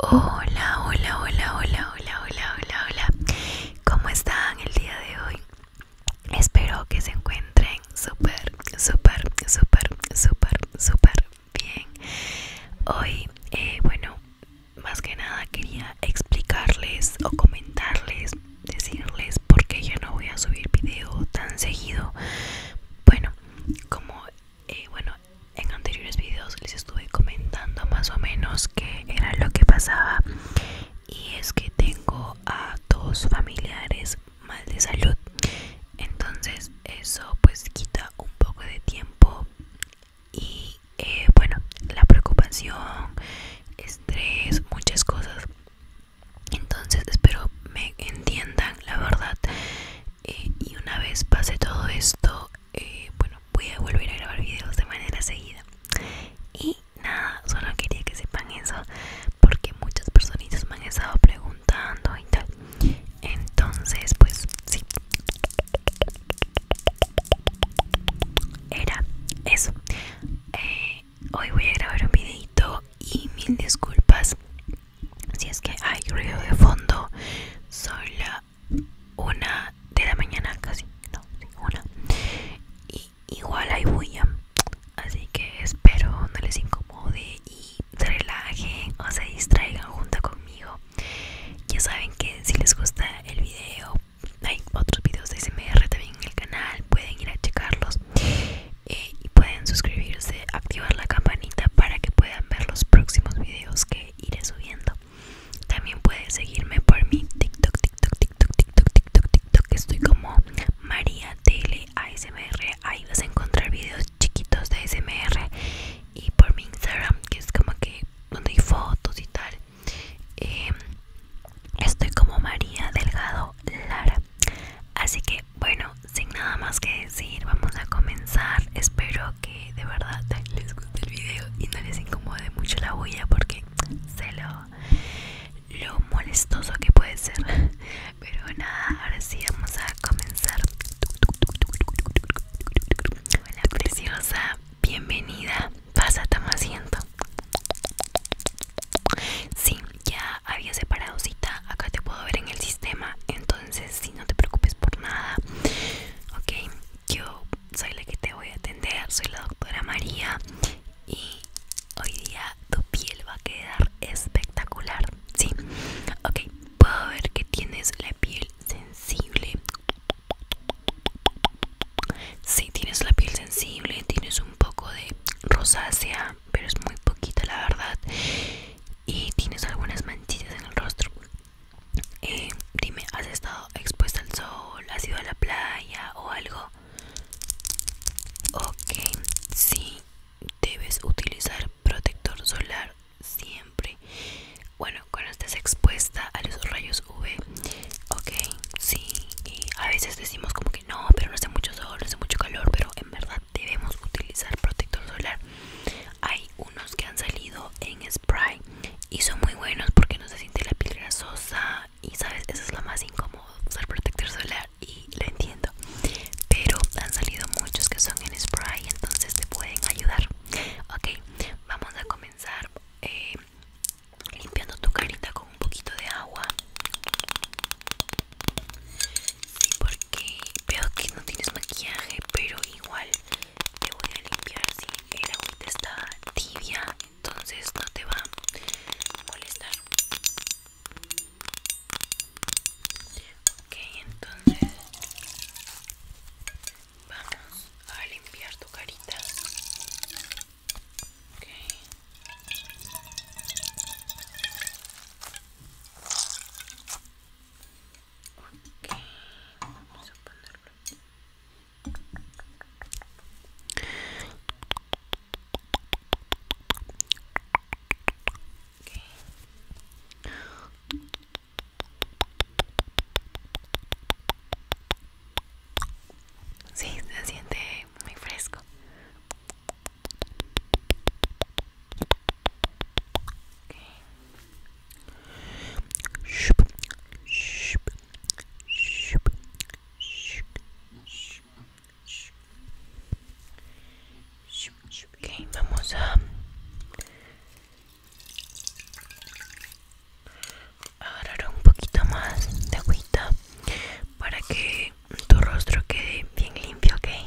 Hola, hola, hola, hola, hola, hola, hola, hola. ¿Cómo están el día de hoy? Espero que se encuentren súper, súper, súper, súper, súper bien. Hoy, eh, bueno, más que nada quería explicarles o comentarles, decirles por qué yo no voy a subir video tan seguido. Bueno, como eh, bueno en anteriores videos les estuve comentando más o menos qué era lo que pasaba y es que tengo a dos familiares mal de salud entonces eso pues quita un poco de tiempo y eh, bueno la preocupación estrés muchas cosas entonces espero me entiendan la verdad eh, y una vez pase todo esto eh, bueno, voy a volver a grabar videos de manera seguida. Y nada, solo quería que sepan eso porque muchas personitas me han estado preguntando y tal. Entonces, pues sí. Era eso. Eh, hoy voy a grabar un videito y mil disculpas si es que hay ruido de fondo. Soy la una de la mañana casi, no, una. Y igual hay bulla, así que espero no les incomode y se relajen o se distraigan junto conmigo. Ya saben que si les gusta el video, hay otros videos de SMR también en el canal, pueden ir a checarlos eh, y pueden suscribirse, activar la campanita para que puedan ver los próximos videos que iré subiendo. También puedes seguirme por mi TikTok, TikTok, TikTok, TikTok, TikTok, TikTok. Estoy como María Tele Ahí vas a encontrar videos chiquitos de ASMR. Y por mi Instagram, que es como que donde hay fotos y tal. Em, estoy como María Delgado Lara. Así que bueno, sin nada más que vamos a comenzar. Espero que de verdad les guste el video y no les incomode mucho la bulla porque sé lo, molestoso que puede ser. Pero nada, ahora sí vamos a comenzar. Hola preciosa, bienvenida. Pasa, toma asiento. Sí, ya había separado cita. Acá te puedo ver en el sistema. Entonces entonces no te preocupes por nada ok yo soy la que te voy a atender soy la doctora María y hoy día tu piel va a quedar espectacular sí ok puedo ver que tienes la piel sensible sí, tienes la piel sensible tienes un poco de rosácea pero es muy poquita la verdad y tienes algunas manchitas en el rostro eh, dime, ¿has estado expuesta al sol? ¿Has ido a la playa o algo? Ok, sí, debes utilizar protector solar siempre. Bueno, cuando estés expuesta a los rayos UV, ok, sí. Y a veces decimos como que no, pero no hace mucho sol, no hace mucho calor, pero en verdad debemos utilizar protector solar hay unos que han salido en spray y son muy buenos porque no se siente la piel grasosa y sabes eso es lo más incómodo usar protector solar y lo entiendo pero han salido muchos que son en spray entonces te pueden ayudar ok vamos a comenzar eh, limpiando tu carita con un poquito de agua sí porque veo que no tienes maquillaje pero igual te voy a limpiar si el agua está tibia entonces no te va a molestar ok entonces vamos a limpiar tu carita ok Okay, vamos a ponerlo. Okay. Sí, se siente muy fresco vamos a agarrar un poquito más de agüita para que tu rostro quede bien limpio, okay?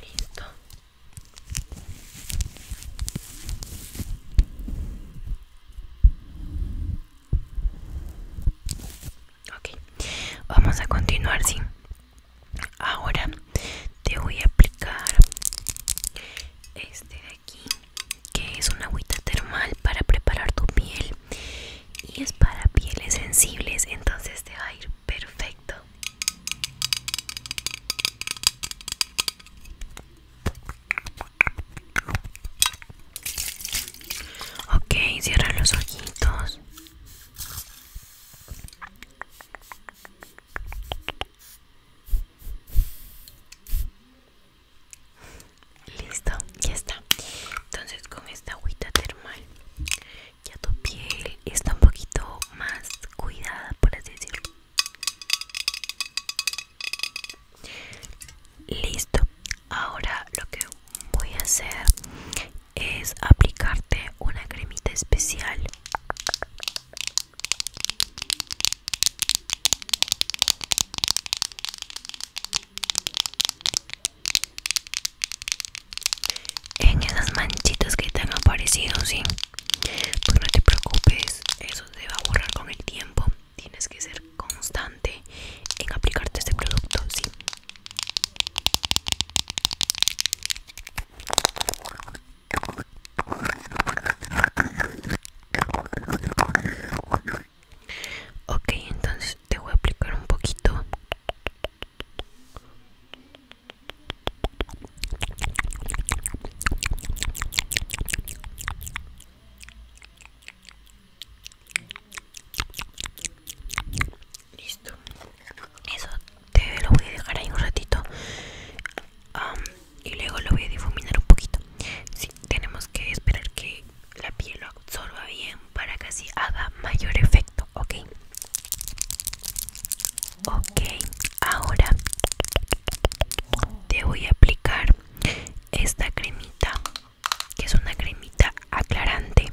Listo. Okay, vamos a continuar, sí ahora te voy a aplicar este de aquí que es una agüita termal para preparar tu piel y es para pieles sensibles entonces te va a ir perfecto ok cierra los ojitos Listo, ya está. Entonces con esta agüita termal ya tu piel está un poquito más cuidada, por así decirlo. Listo. Ahora lo que voy a hacer es aplicarte una cremita especial en esas manchitas que te han aparecido, ¿sí? Pues no te preocupes, eso se va a borrar con el tiempo. Tienes que ser constante en aplicarte este producto, ¿sí? Ok, entonces te voy a aplicar un poquito Listo. Eso te lo voy a dejar ahí un ratito. y luego lo voy a difuminar un poquito. Sí, tenemos que esperar que la piel lo absorba bien para que así haga mayor efecto, ¿ok? Ok, ahora te voy a aplicar esta cremita, que es una cremita aclarante.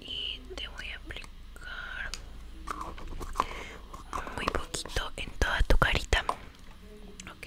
y te voy a aplicar muy poquito en toda tu carita ok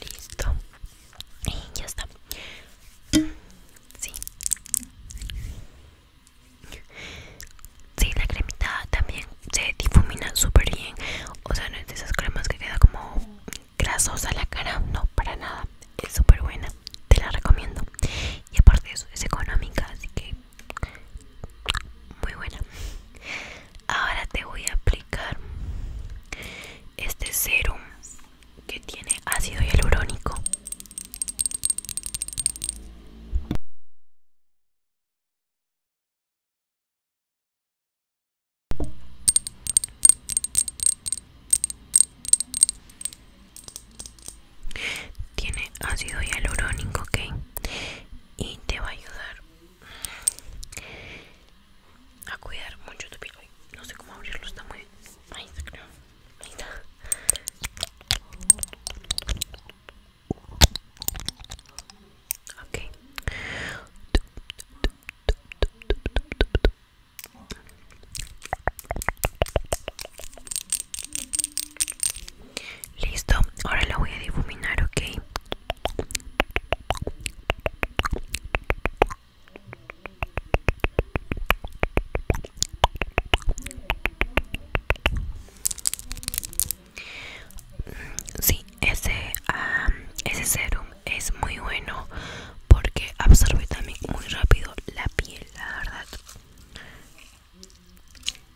Listo. Y ya está. Sí. la cremita también se difumina súper bien. O sea, no es de esas cremas que queda como grasosa la cara. No, para nada. Es súper buena. Te la recomiendo. Y aparte eso, es económica, así que muy buena ahora te voy a aplicar este serum que tiene ácido hialurónico tiene ácido hialurónico, ok, y te va a ayudar a cuidar mucho tu piel. No sé cómo abrirlo, está muy. Ahí está, creo. Ahí está. Ok. Listo, ahora la voy a difuminar, ok. Sí, ese, ese serum es muy bueno porque absorbe también muy rápido la piel, la verdad.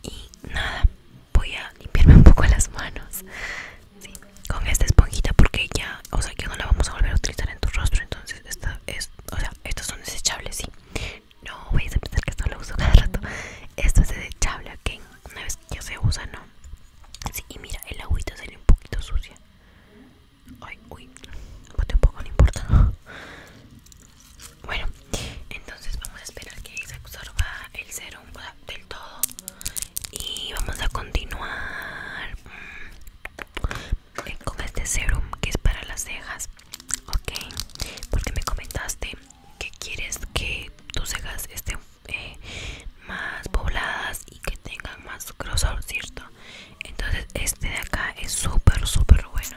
Y nada, voy a limpiarme un poco las manos. ¿sí? con esta esponjita porque ya o sea que no la vamos a volver a utilizar en tu rostro entonces esta es o sea estos son desechables sí no vayas a pensar que esto lo uso cada rato esto es desechable que una vez que ya se usa no sí y mira el agüita sale un poquito sucia ay uy un poco no importa bueno entonces vamos a esperar que se absorba el cero del todo. Y vamos a continuar mm, eh, con este serum que es para las cejas, ok. Porque me comentaste que quieres que tus cejas estén eh, más pobladas y que tengan más grosor, ¿cierto? Entonces, este de acá es súper, súper bueno.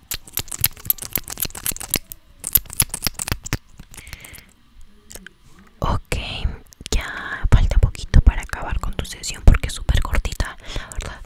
Ok, ya falta poquito para acabar con tu sesión porque es súper cortita, la verdad.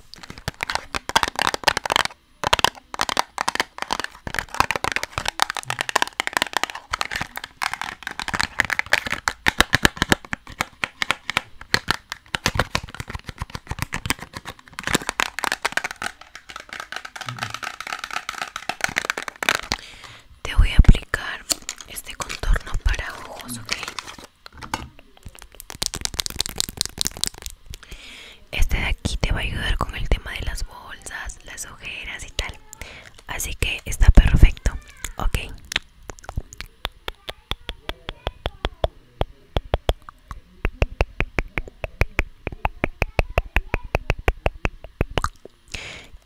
Te voy a aplicar este contorno para ojos, ok. Este de aquí te va a ayudar con el tema de las bolsas, las ojeras y tal. Así que está perfecto, ok.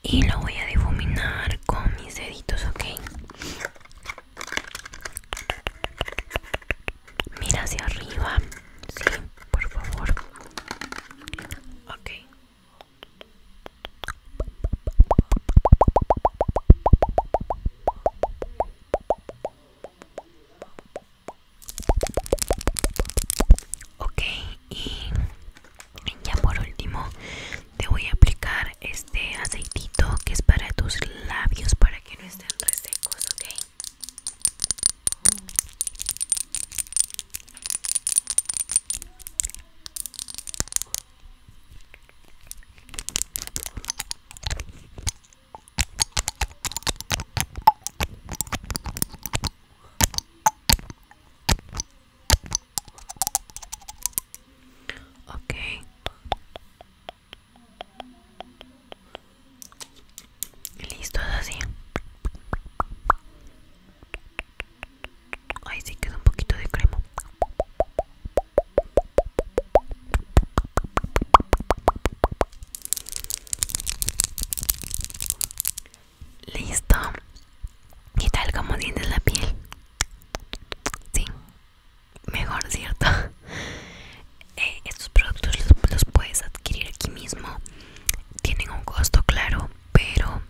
Y lo voy a difuminar con mis deditos, ok. Mira hacia arriba, sí, por favor. Ok ok y ya por último te voy a aplicar este aceitito que es para tus labios para que no estén resecos ok Ok. Listo, así. Ahí sí queda un poquito de crema. Listo. ¿Y tal como tienes la piel? Sí. Mejor, ¿cierto? Eh, estos productos los, puedes adquirir aquí mismo. Tienen un costo, claro, pero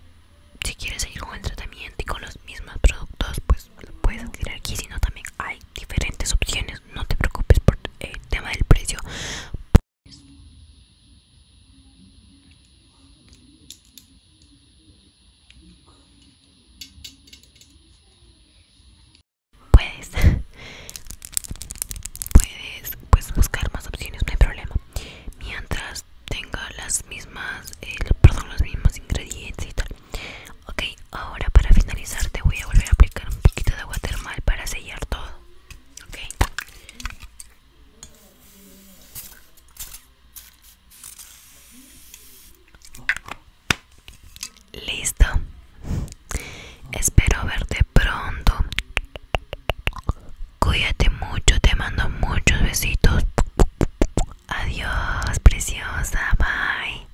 si quieres seguir con el tratamiento y con los mismos productos, pues los puedes adquirir aquí. Si no, también hay diferentes opciones. No te preocupes por el eh, tema del precio. Puedes, puedes pues, buscar más opciones, no hay problema. Mientras tenga las mismas, perdón, los mismos ingredientes y tal. Ok, ahora para finalizar te voy a volver a aplicar un poquito de agua termal para sellar todo. Listo. Espero verte pronto. Cuídate mucho, te mando muchos besitos. Adiós, preciosa. Bye.